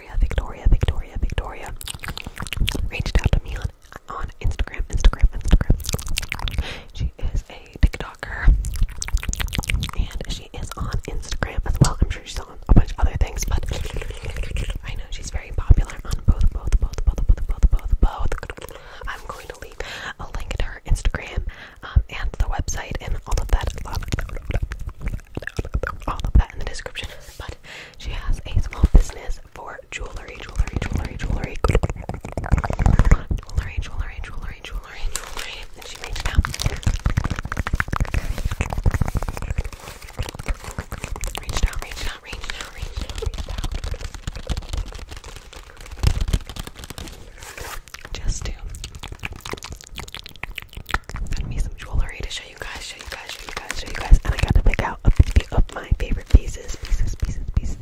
Victoria, Victoria, Victoria, Victoria reached out to me on, on Instagram, Instagram, Instagram. She is a TikToker and she is on Instagram as well. I'm sure she's on a bunch of other things, but I know she's very popular on both, both, both, both, both, both, both, both. I'm going to leave a link to her Instagram um, and the website and all of that all of that in the description. But she has a small business for jewelry, jewelry, jewelry, jewelry, jewelry, jewelry, jewelry, jewelry, jewelry, and she made it out. Reached out, reached out, reached out, reached out, reached out. Just to send me some jewelry to show show you guys, show you guys, show you guys, show you guys, and I gotta pick out a few of my favorite pieces, pieces, pieces, pieces.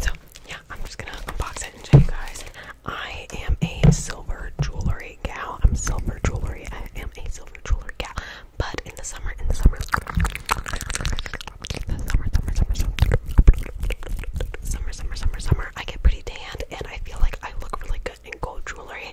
So yeah, I'm just gonna unbox it and show you guys. I am a silver jewelry gal. I'm silver jewelry. I am a silver jewelry gal. But in the summer, in the summer, the summer, summer, summer, summer, summer, summer, summer, summer, I get pretty tanned, and I feel like I look really good in gold jewelry.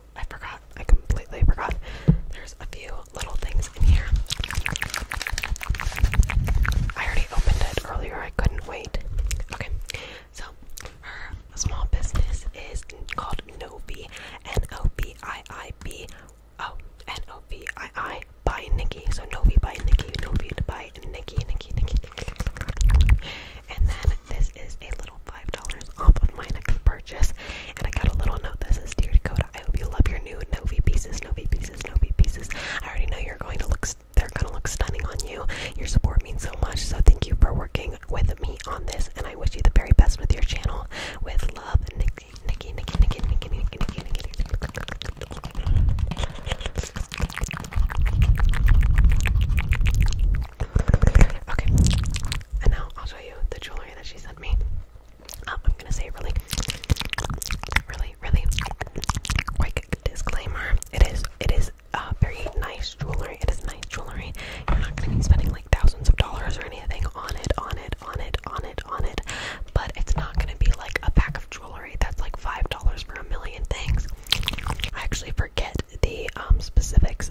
Oh, I forgot. I completely forgot. There's a few little things in here. I already opened it earlier. I couldn't wait. Okay, so her small business is called Novi. N O B I I B. Oh, N O V I I by Nikki. So Novi by Nikki. Novi by Nikki. Nikki. Nikki. And then this is a little $5 off of my next purchase. And I got a little note that says, Dear Dakota, out. I hope you love your new Novi pieces, Novi pieces, Novi pieces. I already know you're going to look, they're going to look stunning on you. Your support means so much, so thank you for working with me on this, and I wish you the very best with your channel. With love, Nikki, Nikki, Nikki, Nikki, Nikki, Nikki, Nikki, Nikki, Nikki. Okay, and now I'll show you the jewelry that she sent me. Um, I'm gonna say really, really, really quick disclaimer. It is, it is uh, very nice jewelry. It is nice jewelry. You're not gonna be spending like thousands of dollars or anything on it, on it, on it, on it, on it. But it's not gonna be like a pack of jewelry that's like five dollars for a million things. I actually forget the um, specifics,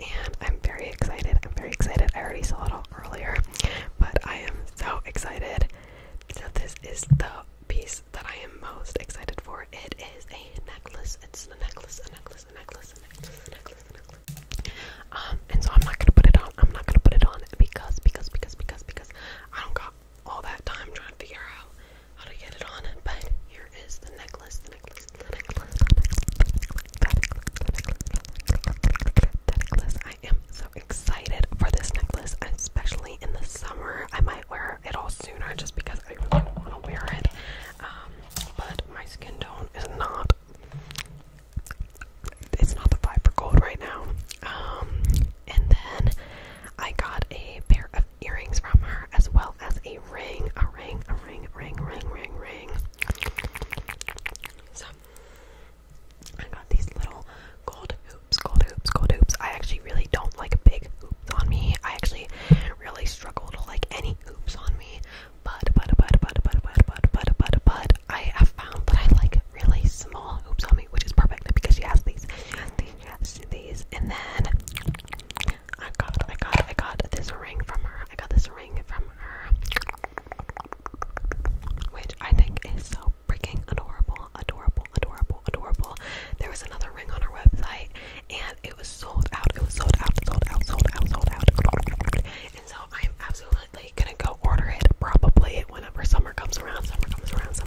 and I'm very excited. I'm very excited. I already saw it all earlier, but I am so excited. So this is the piece that I am most excited for. It is a necklace. It's a necklace, a necklace, a necklace, a necklace, a necklace, Um, and so I'm not gonna put it on. I'm not gonna put it on because because because because because I don't all that time trying to figure out how to get it on. But here is the necklace, the necklace, the necklace, I am so excited for this necklace, especially in the summer. I might wear it all sooner just because I really want to wear it. Um, but my skin tone is not it's not the vibe for gold right now. Um, and then I got a pair of earrings from her, as well as a ring, a ring, a ring, ring, ring, ring, ring. So I got these little gold hoops, gold hoops, gold hoops. I actually really don't like big hoops on me. I actually really struggle to like any hoops on me. But but but but but but but but but but I have found that I like really small hoops on which is perfect because she has these, these, these. And then I got, I got, I got this ring from her. I got this ring from her, which I think is so freaking adorable, adorable, adorable, adorable. There was another ring on her website, and it was sold out. It was sold out, sold out, sold out, sold out. And so I am absolutely gonna go order it probably whenever summer comes around. Summer comes around. Summer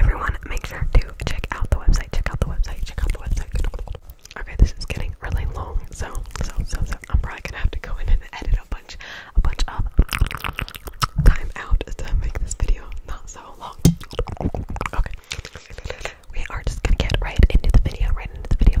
Everyone, make sure to check out the website. Check out the website. Check out the website. Okay, this is getting really long, so so so I'm probably gonna have to go in and edit a bunch, a bunch of time out to make this video not so long. Okay, we are just gonna get right into the video. Right into the video.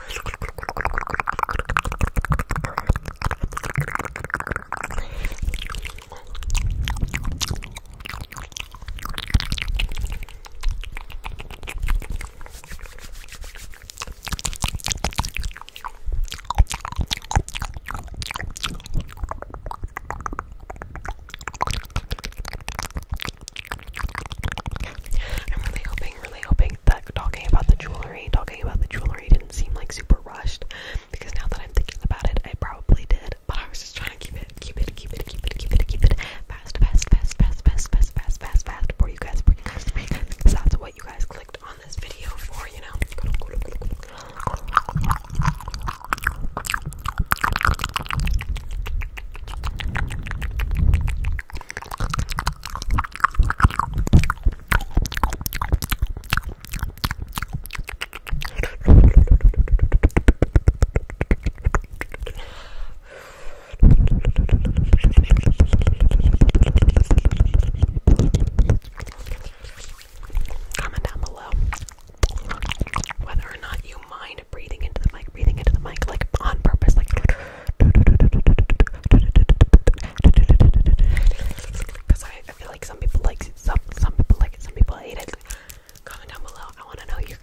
I'm really hoping hoping, really hoping that talking about the jewelry, talking about the jewelry didn't seem like super rushed because now that I'm thinking about it, I probably did. But I was just trying to keep it, keep it, keep it, keep it, keep it, keep it fast, fast, fast, fast, fast, fast, fast, fast, fast for you guys, for you guys, for you guys, because that's what you guys clicked on this video for, you know. Comment down below whether or not you mind breathing into the mic, breathing into the mic, like on purpose, like. Because I, I feel like some people like it, some, some people like it, some people hate it. Comment down below. I want to know your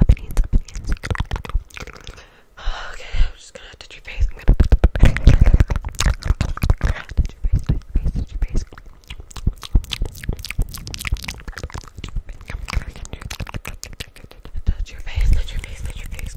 Opinions. Okay, I'm just gonna touch your face. I'm gonna touch your face, touch your face, touch your face. Touch your face, touch your face, touch your face.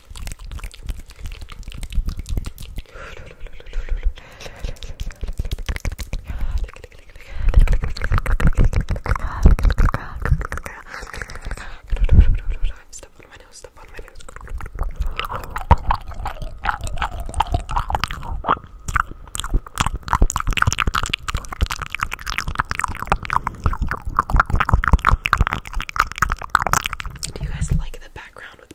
Step on my nose, step on Do you guys like the background with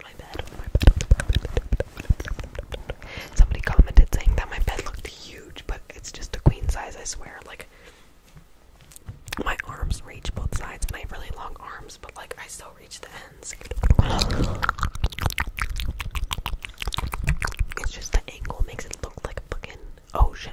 Somebody commented saying that my bed looked huge, but it's just a queen size, I swear. Like, my arms reach both sides, and I have really long arms, but like, I still reach the ends. It's just the angle makes it look like a fucking ocean.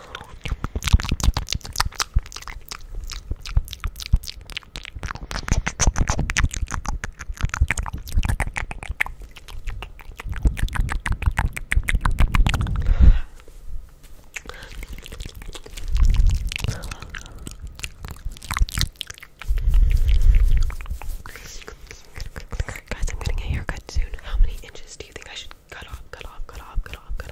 Guys, I'm getting a haircut soon. How many inches do you think I should cut off? Cut off, cut off, cut off, cut